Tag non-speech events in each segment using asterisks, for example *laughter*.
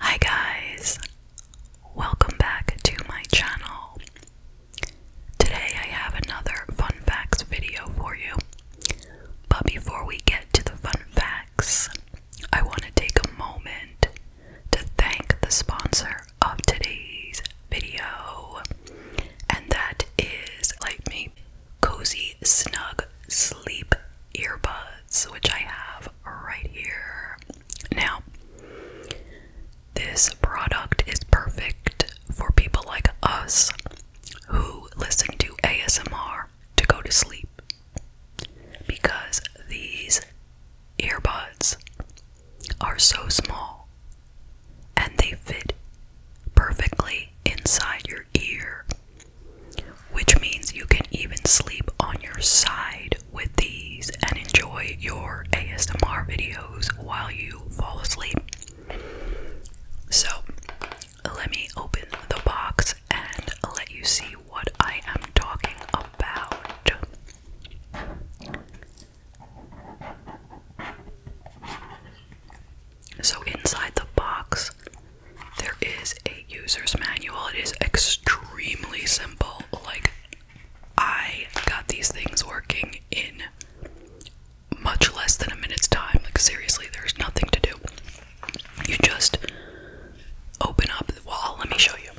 Hi guys, welcome back to my channel. Today I have another fun facts video for you. But before we get to the fun facts, I want to take a moment to thank the sponsor of today's video, and that is Like Cozy Snug Sleep earbuds, which I have right here. Now, this product is perfect for people like us who listen to ASMR to go to sleep because these earbuds are so small and they fit perfectly inside your ear which means you can even sleep on your side with these and enjoy your ASMR videos while you fall asleep. So, let me open the box and let you see what I am talking about. So, inside the box, there is a user's manual. It is extremely simple. Like, I got these things working in much less than a minute's time. Like, seriously, there's nothing to do. You just open up the wall. Let me show you.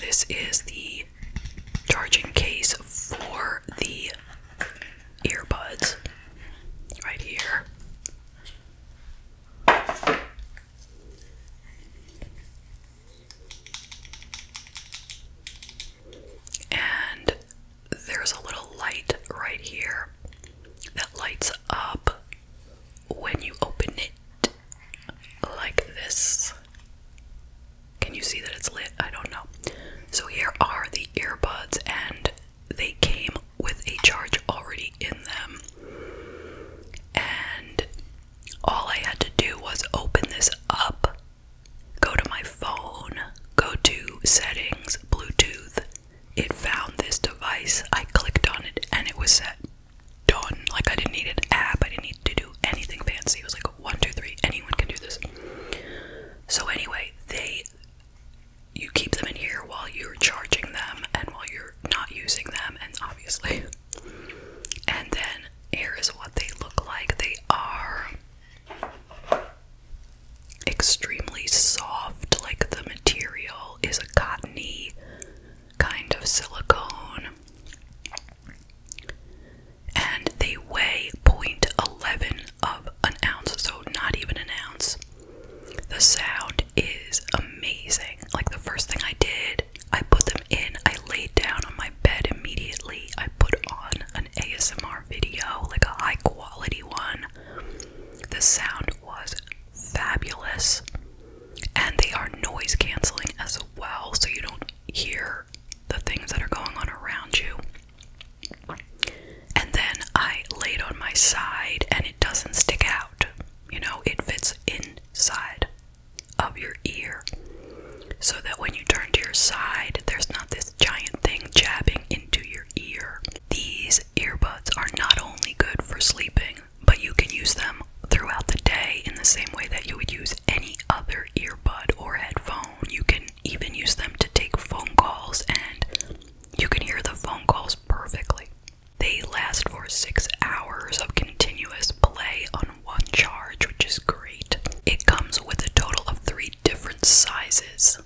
This is the charging case for the earbuds right here. And there's a little light right here that lights up when you open it like this. Can you see that it's lit? I don't know. So, here are the earbuds, and they came with a charge already in them. And all I had to do was open this up, go to my phone, go to settings, Bluetooth. It found this device. I clicked on it and it was set. Done. Like I didn't need an app, I didn't need to do anything fancy. It was like one, two, three, anyone can do this. So, anyway, they you keep them in here while you're charging them and while you're not using them, and obviously. *laughs* And then here is what they look like. They are extremely soft, like the material is a cottony kind of silicone. And they weigh point eleven of an ounce, so not even an ounce. The sound is amazing. Like the first thing I did, I put them in, I laid down on my bed immediately. I put on an ASMR video, like a high quality one. The sound was fabulous. And they are noise canceling as well, so you don't hear the things that are going on around you. And then I lay it on my side and it doesn't stick out. You know, it fits inside of your ear. So that when you turn to your side, there's not this giant thing jabbing into your ear. These earbuds are not only good for sleeping, but you can use them throughout the day in the same way that you would use any other earbud or headphone. You can even use them to take phone calls and you can hear the phone calls perfectly. They last for six hours of continuous play on one charge, which is great. It comes with a total of three different sizes.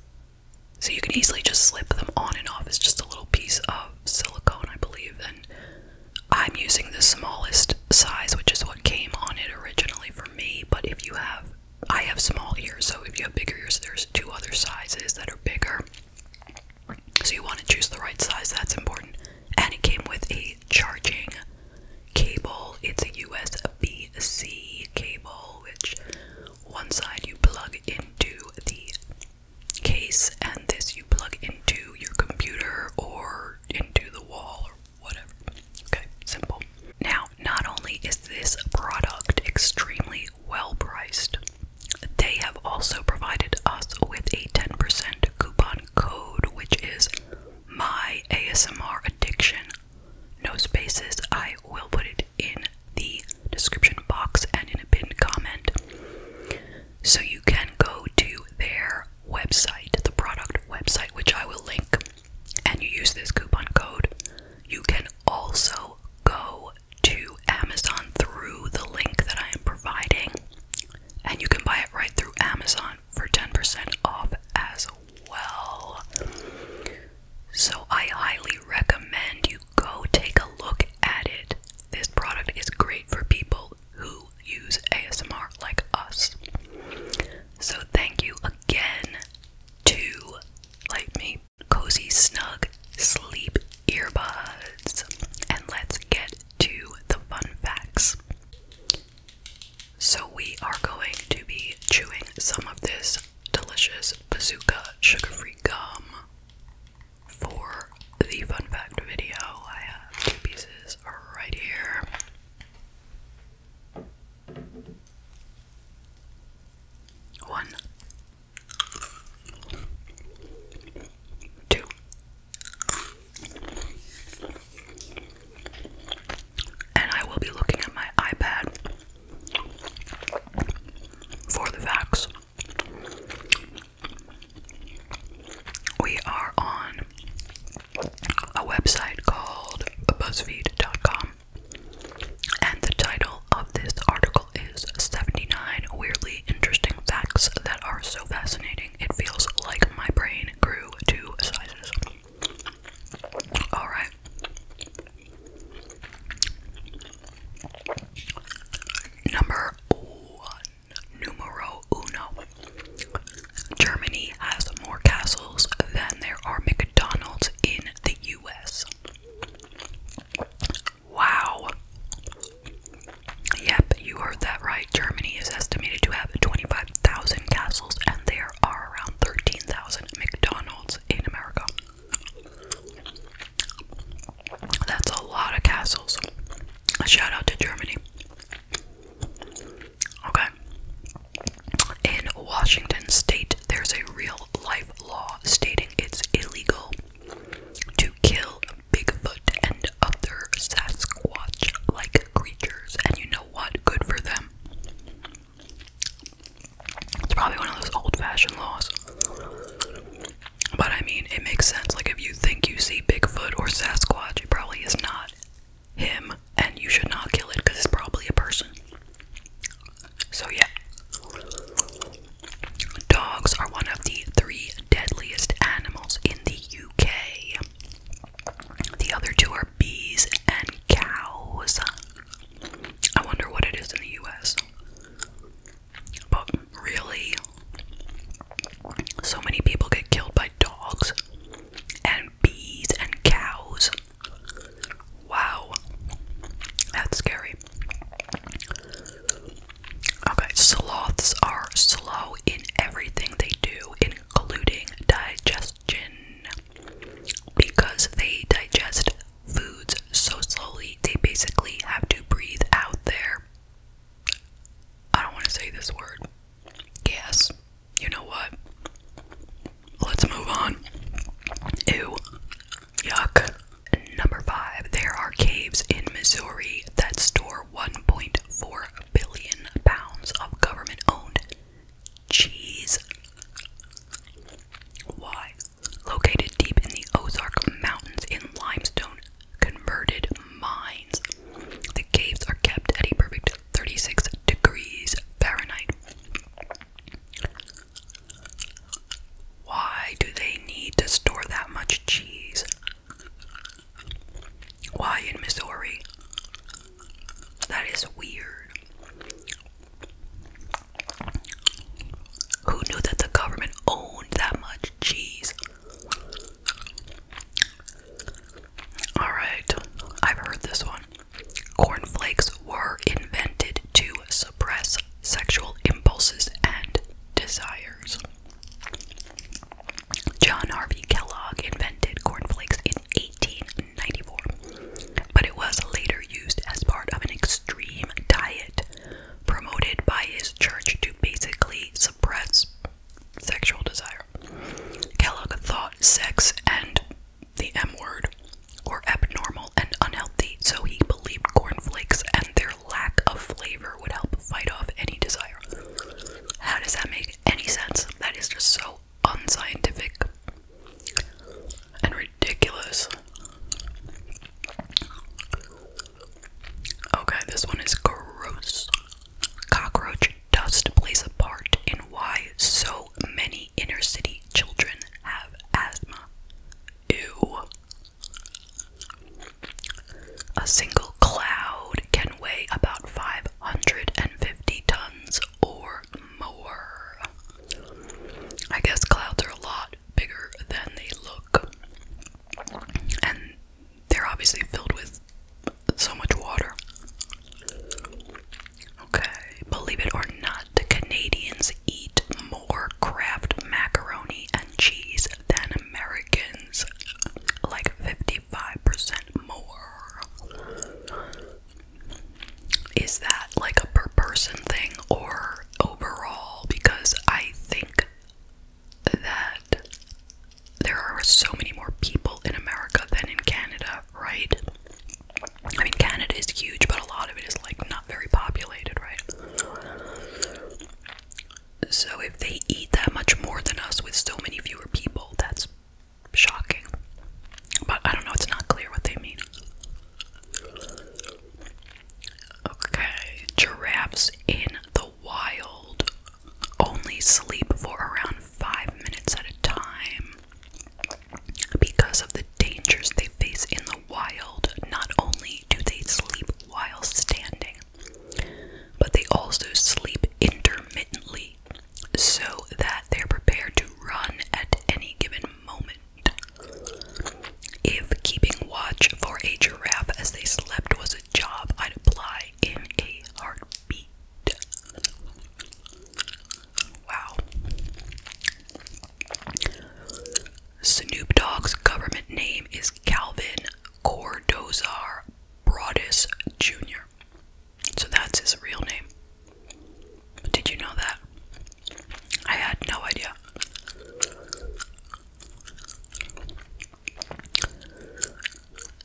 So you can easily just slip them on and off. It's just a little piece of silicone, I believe. And I'm using the smallest size, which is what came on it originally for me. But if you have I have small ears, so if you have bigger ears, there's two other sizes that are bigger. So you want to choose the right size, that's important. And it came with a charging cable. It's a USB C cable, which one side you plug into the case, and this you plug into your computer or into the wall or whatever. Okay, simple. Now, not only is this product extremely well priced, they have also provided us with a 10% coupon code, which is my ASMR addiction. No spaces. I will put it in the description box and in a pinned comment. So you can go to their website, the product website, which I will link, and you use this coupon code. You can also go to Amazon through the link that I am providing, and you can buy it right through Amazon for 10% off as well. So, I highly recommend you go take a look at it. This product is great for people who use ASMR like us. So, thank you again to Light Me cozy, snug sleep earbuds. And let's get to the fun facts. So, we are going to be chewing some of this delicious bazooka sugar free gum for the fun fact video. I have two pieces right here. One Two. And I will be looking at my iPad for the facts. We are on a website called BuzzFeed.com. And the title of this article is 79 Weirdly Interesting Facts That Are So Fascinating It Feels Like My Brain Grew Two Sizes. Alright. Number one. Numero uno. Germany has more castles than there are McDonald's in the US. Wow. Yep, you heard that right. Germany is estimated to have 25,000 castles, and there are around 13,000 McDonald's in America. That's a lot of castles. A shout out to Germany. Okay. In Washington state, there's a real life law stating it's illegal to kill Bigfoot and other Sasquatch like creatures, and you know what? Good for them. It's probably one of those old fashioned laws. But I mean, it makes sense. Like, if you think you see Bigfoot or Sasquatch, it probably is not him, and you should not kill it because it's probably a person. So, yeah. Dogs are one of the three deadliest animals in the UK. The other two are bees and cows. I wonder what it is in the US. But really, so many people get killed by dogs and bees and cows. Wow. That's scary. Okay, sloths are slow in everything they do, including digestion. Because they digest foods so slowly, they basically have to breathe out there. I don't want to say this word. Gas. You know what? Let's move on. Ew. Yuck. Number five, there are caves in Missouri that store 1.4 billion pounds of government owned cheese. Why? Located deep in the Ozark Mountains in limestone converted mines, the caves are kept at a perfect 36 degrees Fahrenheit. Why do they need to store that much cheese? Why in Missouri? That is weird. Who knew that the government owned that much cheese? Alright, I've heard this one. Cornflakes were invented to suppress sexual impulses and desires. John Harvey Kellogg invented cornflakes in 1894, but it was later used as part of an extreme diet promoted by his church to basically suppress sexual desire. Kellogg thought sex and the M word, or abnormal and unhealthy, so he believed cornflakes and their lack of flavor would help fight off any desire. How does that make any sense? That is just so unscientific and ridiculous. Okay, this one is gross. Cockroach dust plays a part in why so many inner city children have asthma. Ew. A single cloud can weigh about 550 tons or more. I guess clouds are a lot bigger than they look. And they're obviously filled with so much water. Okay, believe it or not, the Canadians eat more craft macaroni and cheese than Americans, like 55% more. Is that like a per person thing or overall? Because I think that there are so many more people in America than in Canada, right? I mean, Canada is huge, but a lot of it is like not very populated, right? So if they eat that much more than us with so many fewer people, that's shocking. But I don't know, it's not clear what they mean. Okay, giraffes in the wild only sleep for around 5 minutes at a time. Because of the dangers they face in the wild, not only do they sleep while standing, but they also sleep intermittently so that they're prepared to run at any given moment. If keeping watch for a giraffe as they slept was a job I'd apply in a heartbeat. Wow. Snoop Dogg's government name is Calvin Cordozar Broadus Jr. So that's his real name. Did you know that? I had no idea.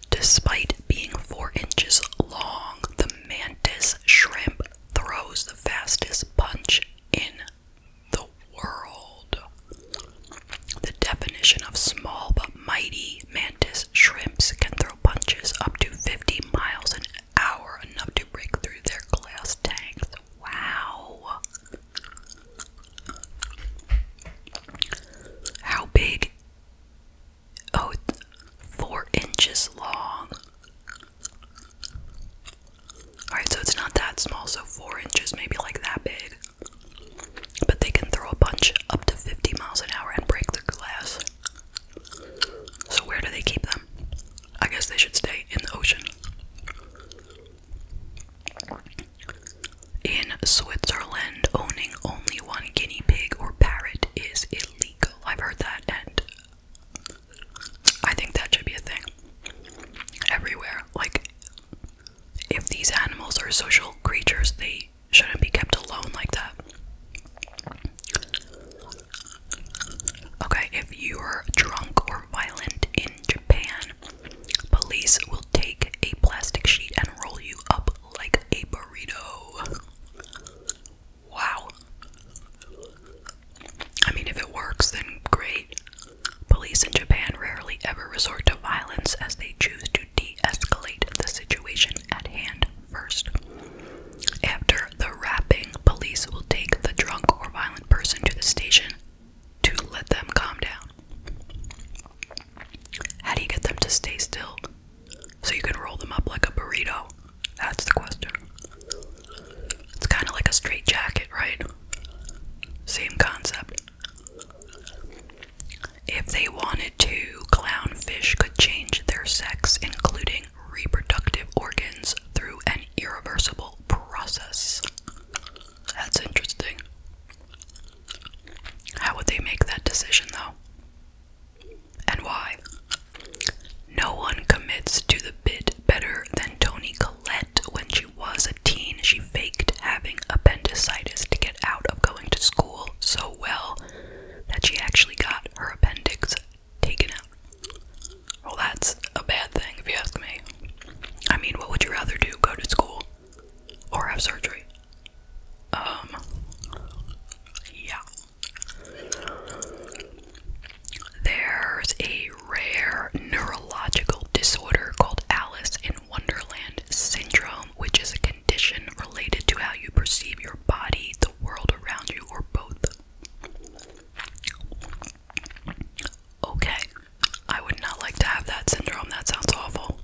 Despite being four inches long, the mantis shrimp throws the fastest punch in the world. The definition of small but mighty mantis shrimps can throw punches up to 50 miles an hour, enough to break through their glass tanks. Wow! How big? Oh, four inches long. Alright, so it's not that small, so four inches, maybe like that big. But they can throw a punch up to 50 miles an hour and break the glass. So, where do they keep them? I guess they should stay in the ocean. In Switzerland, owning only one guinea pig or parrot is illegal. I've heard that, and I think that should be a thing everywhere. Like, if these animals are social creatures, they shouldn't be kept alone like that. Okay, if you're drunk or violent in Japan, police will take a plastic sheet and roll you up like a burrito. Wow. I mean, if it works, then great. Police in Japan rarely ever resort to violence as they choose to de escalate the situation at hand first. After the rapping, police will take the drunk or violent person to the station to let them calm down. How do you get them to stay still? So you can roll them up like a burrito. That's the question. It's kind of like a straight jacket, right? Same concept. If they wanted to, clownfish could change their sex, including reproductive organs, through an irreversible process. That's interesting. How would they make that decision, though? And why? No one commits to the bit better than Tony Collette. When she was a teen, she faked having appendicitis to get out of going to school so well that she actually got her appendix taken out. Well, that's a bad thing, if you ask me. I mean, what would you rather do? Go to school or have surgery? Um, yeah. There's a rare neurological disorder called Alice in Wonderland syndrome, which is a condition related to how you perceive your body, the world around you, or both. Okay, I would not like to have that syndrome. That sounds awful.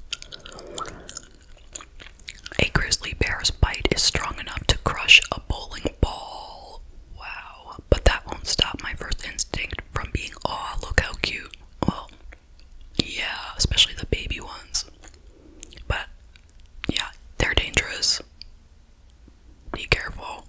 A grizzly bear's bite is strong enough to crush a bowling ball. Wow but that won't stop my first instinct from being aw, look how cute. Well, yeah, especially the baby ones. But yeah, they're dangerous. Be careful.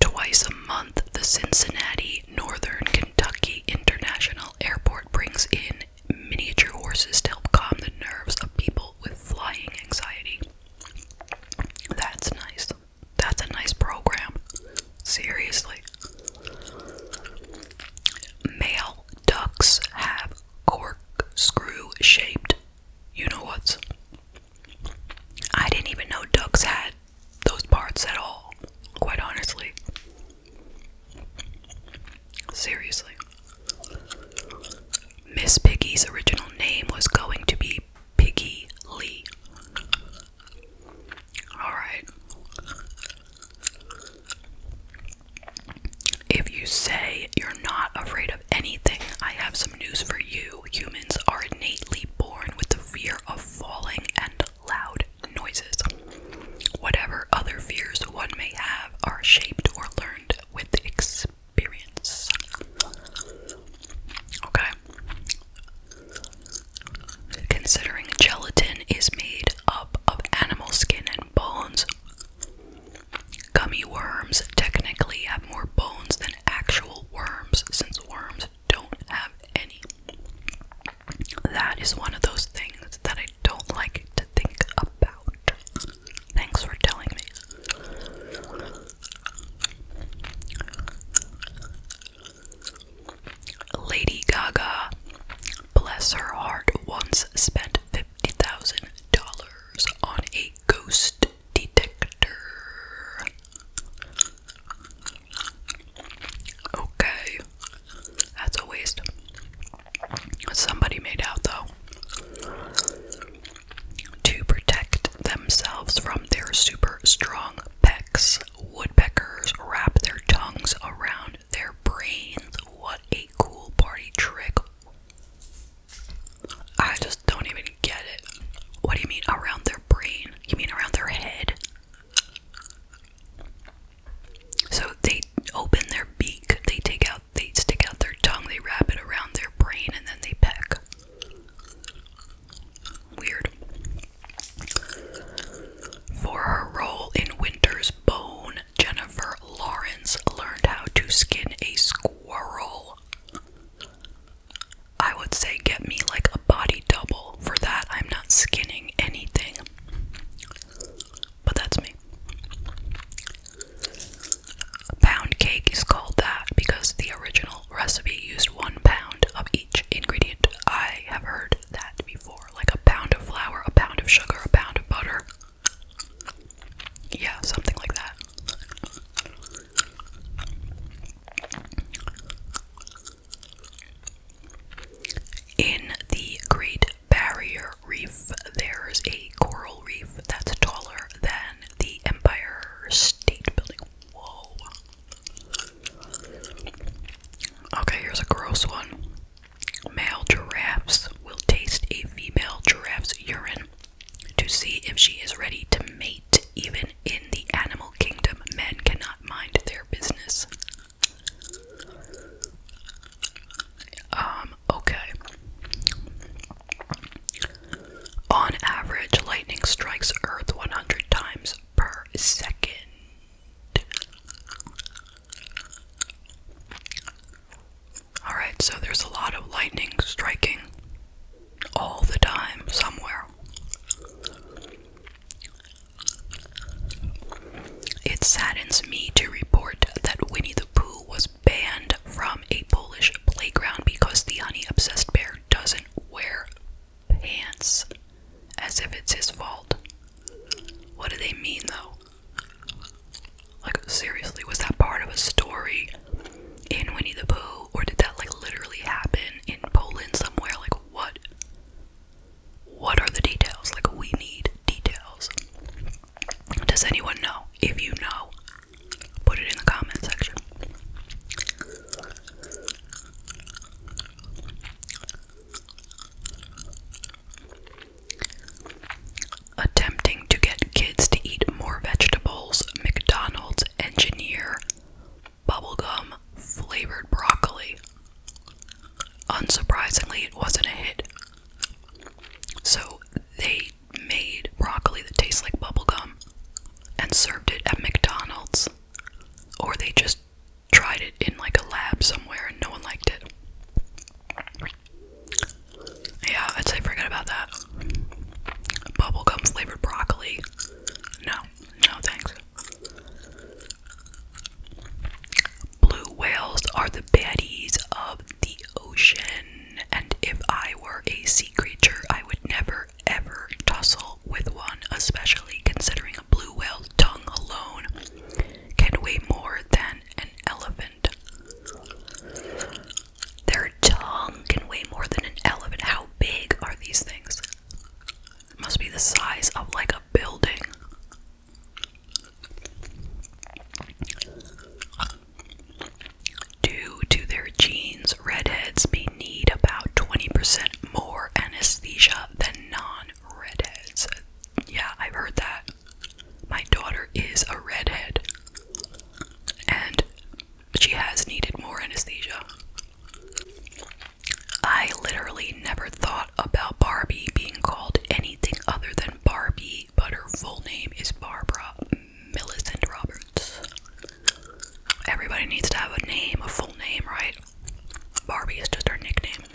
Twice a month, the Cincinnati Northern Kentucky International Airport brings in miniature horses to help calm the nerves of people with flying anxiety. That's nice. That's a nice program. Seriously. Male ducks have corkscrew shaped. You know what? I didn't even know ducks had those parts at all, quite honestly. Seriously. Miss Piggy's original name was going to be Piggy Lee. Alright. If you say you're not afraid of anything, I have some news for you. Humans are innately born with the fear of falling and loud noises. Whatever other fears one may have are shaped or learned with experience. Okay. Considering gelatin is made up of animal skin and bones, gummy worms technically have more bones than actual worms since worms don't have any. That is one of those things that I don't like to think about. Thanks for telling me. Lady Gaga, bless her heart, once spent $50,000 on a ghost detector. Okay. That's a waste. Somebody made out though. To protect themselves from their super strong pecks, woodpeckers wrap their tongues around their brains. What a cool party trick! I just don't even get it. What do you mean around their brain? You mean around their head? So they open their beak, they take out, they stick out their tongue, they wrap it around their brain, and then they peck. Weird. For her role in Winter's Bone, Jennifer Lawrence learned how to skin a squirrel. I would say get me like a body double for that. I'm not skinning anything. But that's me. Pound cake is called that because the original recipe used one pound of each ingredient. I have heard that before like a pound of flour, a pound of sugar, a pound of butter. Yeah, something like that. In the Great Barrier Reef, there's a coral reef that's taller than the Empire State Building. Whoa. Okay, here's a gross one. Male giraffes will taste a female giraffe's urine to see if she is ready to mate even in the animal kingdom, men cannot mind their business. Um, okay. On average, lightning strikes Earth 100 times per second. Alright, so there's a lot of lightning striking all the time somewhere. It saddens me to report that Winnie the Pooh was banned from a Polish playground because the honey obsessed bear doesn't wear pants. As if it's his fault. What do they mean though? Like, seriously, was that part of a story in Winnie the Pooh? Or did that like literally happen in Poland somewhere? Like, what what are the details? Like we need details. Does anyone know? If you know, put it in the comment section. Attempting to get kids to eat more vegetables, McDonald's engineer bubblegum flavored broccoli. Unsurprisingly, it wasn't a hit. So they made broccoli that tastes like bubblegum and served it at McDonald's, or they just tried it in like a lab somewhere and no one liked it. Yeah, I'd say forget about that. Bubblegum flavored broccoli. No, no thanks. Blue whales are the baddies of the ocean, and if I were a sea creature, I would never ever tussle with one, especially considering a blue whale's tongue alone can weigh more than an elephant. Their tongue can weigh more than an elephant. How big are these things? must be the size of like a building. Due to their genes, redheads may need about 20% more anesthesia than non redheads. Yeah, I've heard that. My daughter is a redhead, and she has needed more anesthesia. I literally never thought about Barbie being called anything other than Barbie, but her full name is Barbara Millicent Roberts. Everybody needs to have a name, a full name, right? Barbie is just her nickname.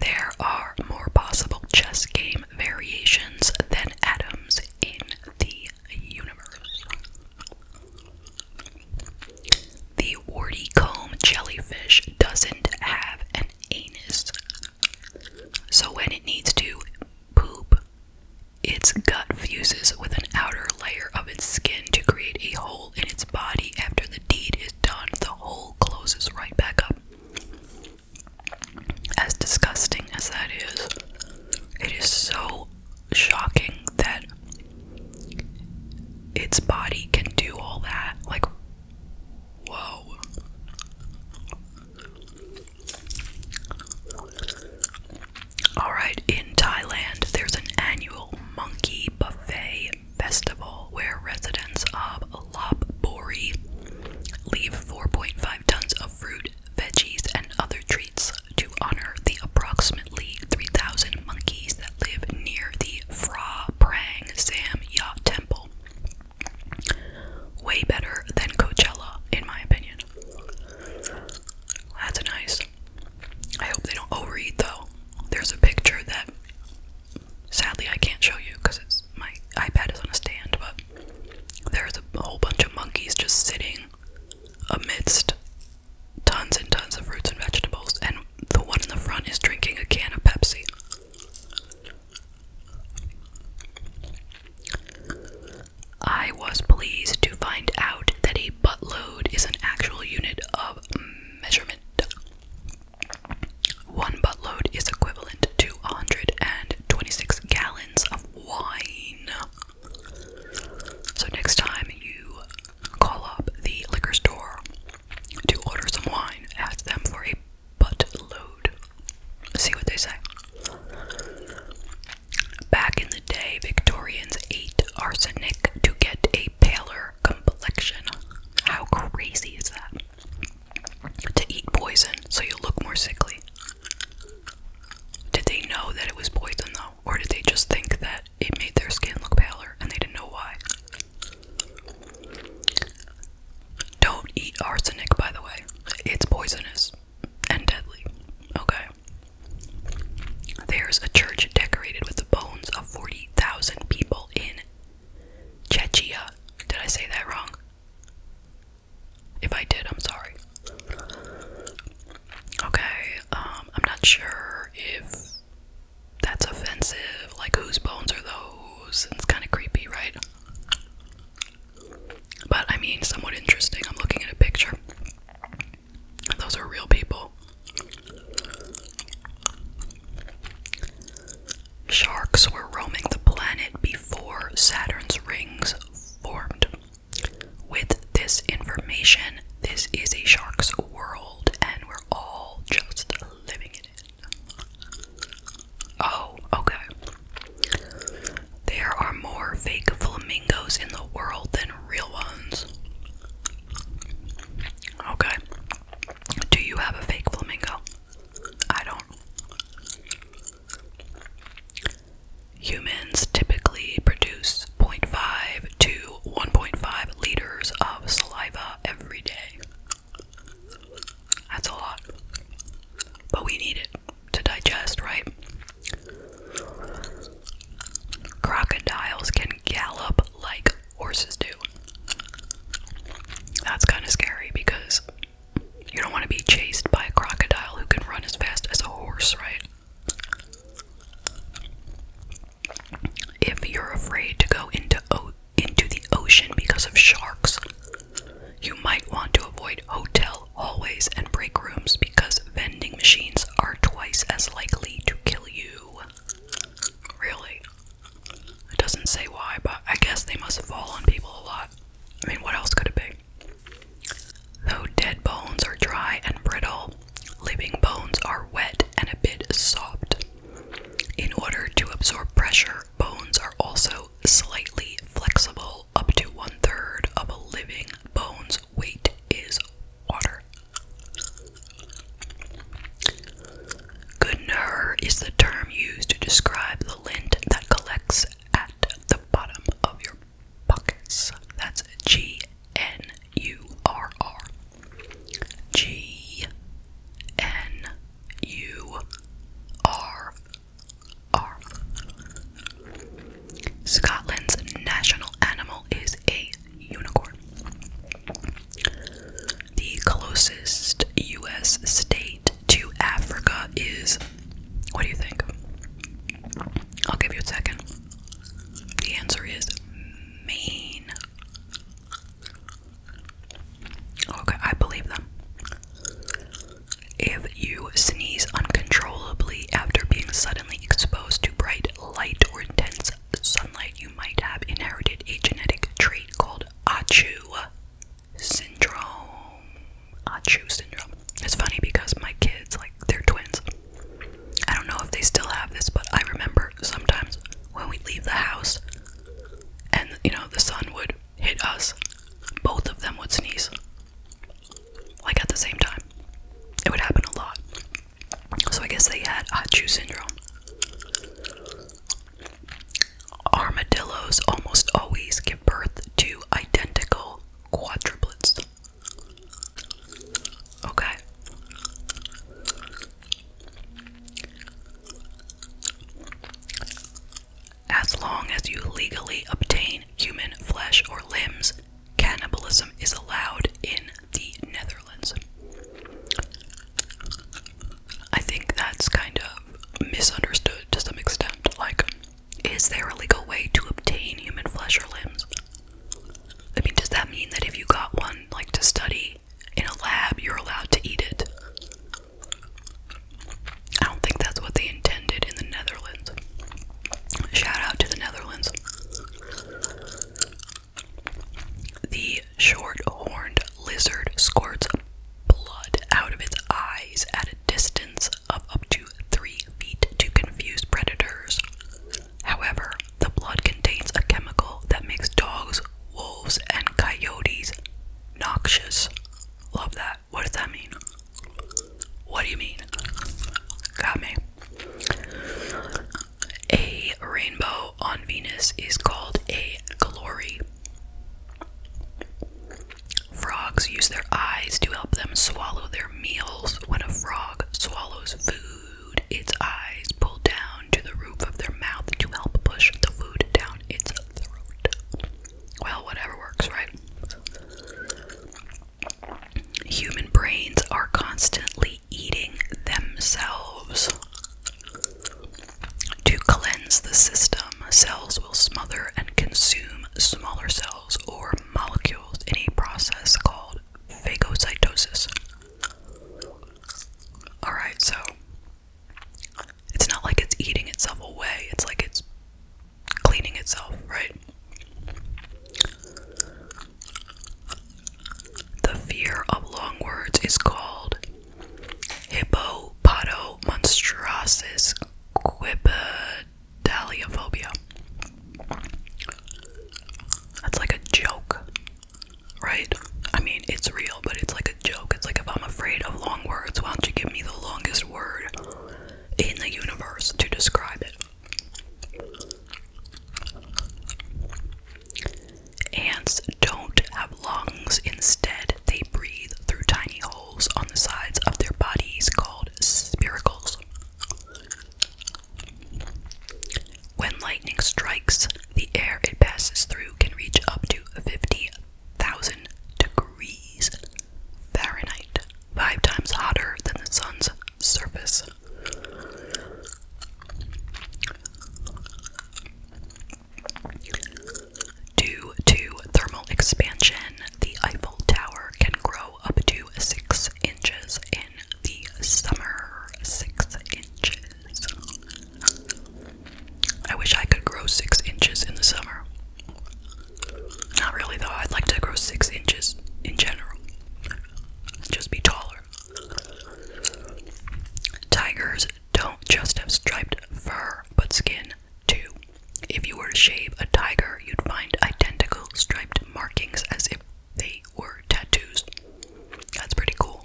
There are more possible chess game variations than atoms in the universe. The warty comb jellyfish doesn't have an anus. So when it needs to poop, its gut fuses with an outer layer of its skin to create a hole in its body. After the deed is done, the hole closes right back up. As disgusting as that is, it is so shocking that its body can do all that. Like, whoa. Alright, in Thailand, there's an annual monkey buffet festival where residents of Lop Bori leave 4.5 tons of fruit veggies, and other treats to honor the approximately 3,000 monkeys that live near the Phra Prang Sam Ya Temple. Way better than Coachella, in my opinion. That's nice. I hope they don't overeat though. There's a picture that sadly I can't show you because my iPad is on a stand, but there's a whole bunch of monkeys just sitting amidst tons and tons of fruits and vegetables, and the one in the front is drinking a can of Pepsi. I was pleased to find out that a buttload is an actual unit of measurement. One buttload is equivalent to 126 gallons of wine. So next time you call up the liquor store to order some wine, ask them for a butt load. See what they say. Back in the day, Victorians ate arsenic to get a paler complexion. How crazy is that? To eat poison so you look more sickly. Did they know that it was poison though? Or did they just think that it made their skin look paler and they didn't know why? Don't eat arsenic, by the way. It's poisonous and deadly. Okay. There's a church decorated with the bones of 40,000 people in Chechia. Did I say that wrong? If I did, I'm sorry. Okay, um, I'm not sure if that's offensive. Like, whose bones are those? It's kind of creepy, right? But I mean, somewhat interesting. I'm looking at a picture. Those are real people. Sharks were roaming the planet before Saturn's rings formed. With this information, this is a shark's world, and we're all just living it in. Oh, okay. There are more fake flamingos in the world than real ones. Okay. Do you have a fake flamingo? I don't. Humans typically produce 0.5 to 1.5 liters of saliva every day. That's a lot. But we need it to digest, right? Crocodiles can gallop like horses do. That's kind of scary because you don't want to be chased by a crocodile who can run as fast as a horse, right? If you're afraid to go into into the ocean because of sharks, you might want to avoid hotel hallways and break rooms because vending machines are twice as likely to kill you. Really? It doesn't say why, but I guess they must fall on people a lot. I mean, what else could it be? Though dead bones are dry and brittle, living bones are wet and a bit soft. In order to absorb pressure, bones are also slightly flexible, up to one third of a living bone's weight is water. Gunner is the term used to describe the lint that collects at the bottom of your Pockets. That's G N U R R. G N U R R. Scotland's national animal is a unicorn. The closest U.S. state to Africa is. What do you think? I'll give you a second. The answer is Maine. Okay, I believe them. If you sneeze uncontrollably after being suddenly exposed to bright light or intense sunlight, you might have inherited a genetic trait called Achu syndrome. Achu syndrome. It's funny because my kids, like, they're twins. I don't know if they still have this, but I remember sometimes when we leave the house and, you know, the sun would hit us, both of them would sneeze. Like, at the same time. It would happen a lot. So I guess they had hot shoe syndrome. Armadillos almost always give birth to identical quadruplets. Okay. As long as you legally obtain human flesh or limbs, cannibalism is allowed in the Netherlands. I think that's kind of misunderstood to some extent. Like, is there a legal way to obtain human flesh or limbs? I mean, does that mean that if you got one, like to study in a lab, you're allowed to eat it? I don't think that's what they intended in the Netherlands. Shout out to the Netherlands. The short horned lizard squirts blood out of its eyes at a distance of up to three feet to confuse predators. However, the blood contains a chemical that makes dogs, wolves, and coyotes noxious. Love that. What does that mean? What do you mean? Got me. A rainbow on Venus is called a glory. Frogs use their eyes to help them swallow their meals when a frog swallows food, its eyes pull down to the roof of their mouth to help push the food down its throat. Well, whatever works, right? Human brains are constantly eating themselves. To cleanse the system, cells will smother and consume smaller cells or molecules in a process called phagocytosis. Alright, so it's not like it's eating itself away, it's like it's cleaning itself, right? The fear of long words is called hippopotomonstros Daliaphobia. That's like a joke, right? I mean, it's real, but it's like a joke. It's like if I'm afraid of long words, why don't you give me the longest word in the universe to describe it? Ants don't have lungs. Instead, they breathe through tiny holes on the sides of their bodies called spiracles. When lightning strikes, the air it passes through can reach up to 50,000 degrees Fahrenheit, five times hotter than the sun's surface. Due to thermal expansion, the Eiffel Tower can grow up to six inches in the summer. Six inches. I wish I could grow six inches in the summer. Not really, though. I'd like to grow six inches in general. Just be taller. Tigers don't just have striped fur, but skin too. If you were to shave a tiger, you'd find identical striped markings as if they were tattoos. That's pretty cool.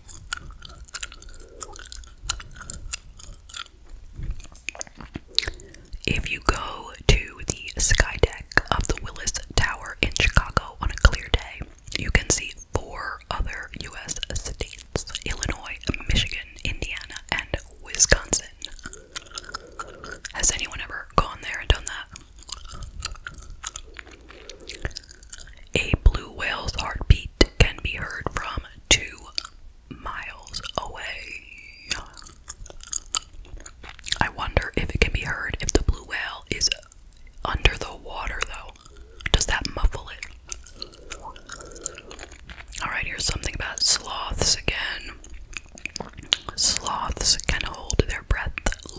If you go to the skydeck of the Willis Tower in Chicago on a clear day, you can see four other U.S. states Illinois, Michigan, Indiana, and Wisconsin. Has anyone ever gone there and done that? A blue whale's heartbeat can be heard from two miles away. I wonder if it can be heard if the blue whale is under the water, though. Does that muffle it? Alright, here's something about sloths again. Sloths can hold their breath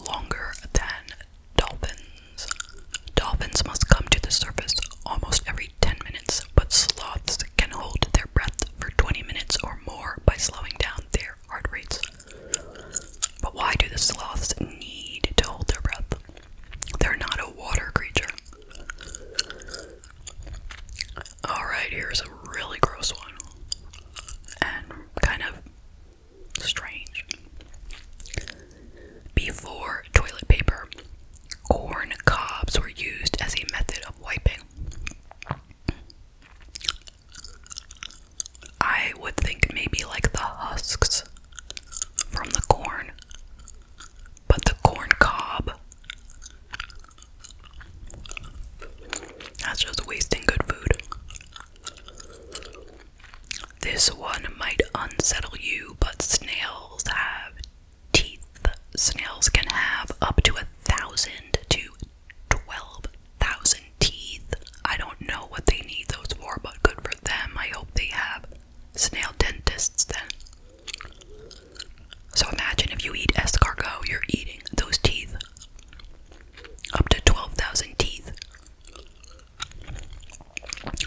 longer than dolphins. Dolphins must come to the surface almost every 10 minutes, but sloths can hold their breath for 20 minutes or more by slowing down their heart rates. But why do the sloths need to hold their breath? They're not a water creature. Alright, here's a really gross one and kind of strange. Before toilet paper, corn cobs were used as a method of wiping. I would think maybe like the husks from the corn, but the corn cob that's just wasting good food. This one might unsettle you, but snails have teeth. Snails can have up to a thousand to twelve thousand teeth. I don't know what they need those for, but good for them. I hope they have snail dentists then. So imagine if you eat escargot, you're eating those teeth. Up to 12,000 teeth.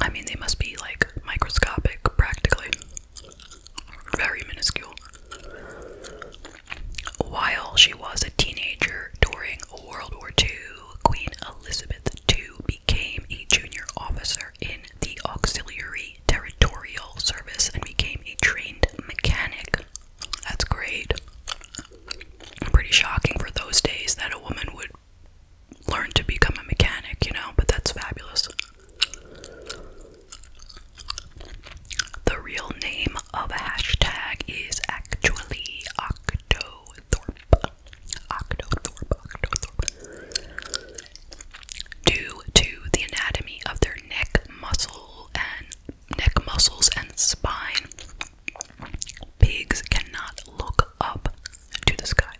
I mean, they must be like microscopic, practically. Very minuscule. While she was a teenager during World War II, Queen Elizabeth II became a junior officer in the Auxiliary Territorial Service and became a trained mechanic that's great. Pretty shocking for those days that a woman would learn to become a mechanic, you know, but that's fabulous. The real name of hashtag is actually Octothorpe. Octothorpe, Octothorpe. Due to the anatomy of their neck muscle and neck muscles, and spine. Pigs cannot look up to the sky.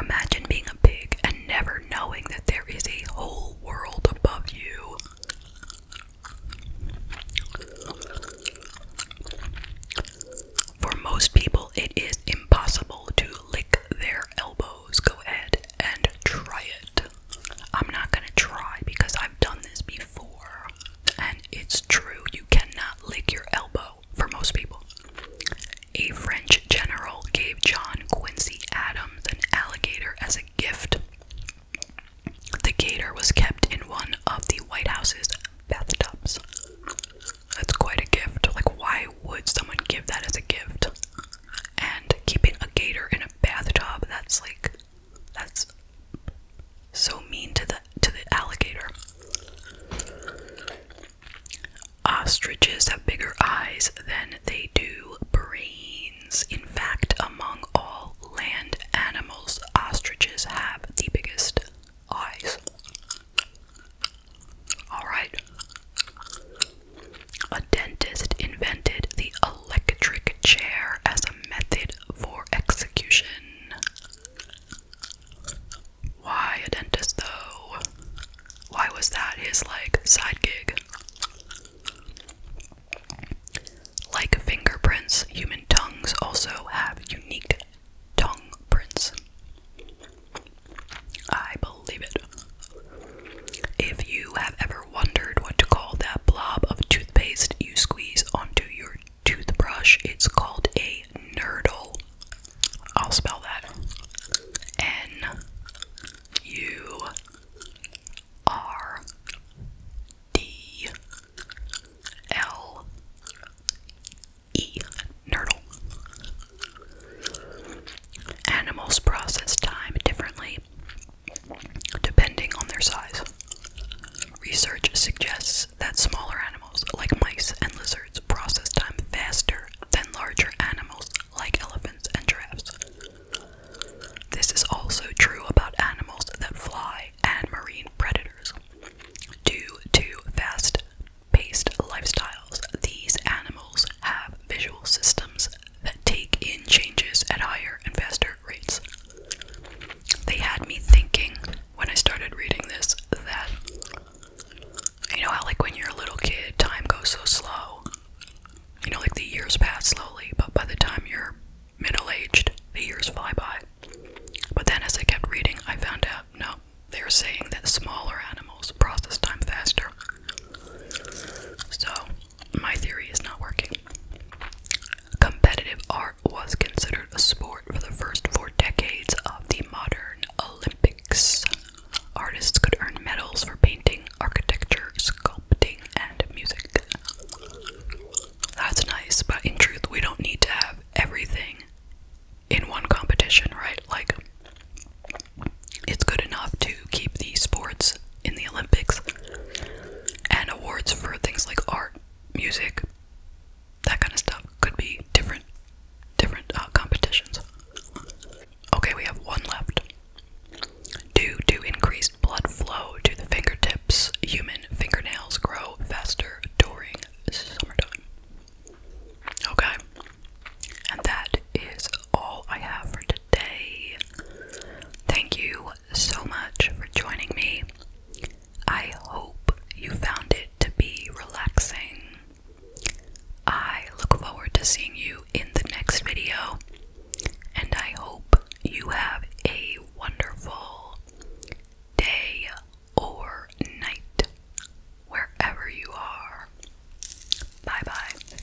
Imagine being a pig and never knowing that there is a whole world above you. For most people, it is impossible to lick their elbows. Go ahead and try it. I'm not gonna try because I've done this before, and it's true, you cannot lick your elbow for most people. A French general gave John Quincy Adams an alligator as a gift. The gator was kept in one of the White House's bathtubs. That's quite a gift. Like, why would someone give that as a gift? And keeping a gator in a bathtub, that's like that's so mean to the to the alligator. Ostriches have bigger eyes than they do brains. In fact, among all land animals, ostriches have the biggest eyes. Alright. A dentist invented the electric chair as a method for execution. Why a dentist though? Why was that his like side gig? Like fingerprints, human tongues also have unique tongue prints. I believe it. If you have ever wondered what to call that blob of toothpaste you squeeze onto your toothbrush, it's called a nerdle. I'll spell that N U R D L E. Nerdle. Animals process time differently depending on their size. Research suggests that smaller animals like mice and lizards process time faster than larger animals like elephants and giraffes. This is also true about animals that fly and marine predators. Due to fast paced lifestyles, these animals have visual systems that take in changes at higher and faster rates. They had me thinking when I started reading this that you know how like when you're a little kid time goes so slow. You know like the years pass slowly, but by the time you're middle-aged, the years fly by. But then as I kept reading, I found out no, they are saying that smaller animals process time faster. So my theory is not working. Competitive art was considered a sport for the first four decades of the modern Olympics. Artists could earn medals for painting, architecture, sculpting, and music. That's nice, but in truth, we don't need to have everything in one competition, right? Like, it's good enough to keep the sports in the Olympics and awards for things like art, music, that kind of stuff could be different different uh, competitions. Okay, we have one left. Due to increased blood flow to the fingertips, human fingernails grow faster during summertime. Okay, and that is all I have for today. Thank you so much for joining me. I hope you found it to be relaxing. I look forward to seeing you in the next video, and I hope you have a wonderful day or night wherever you are. Bye bye.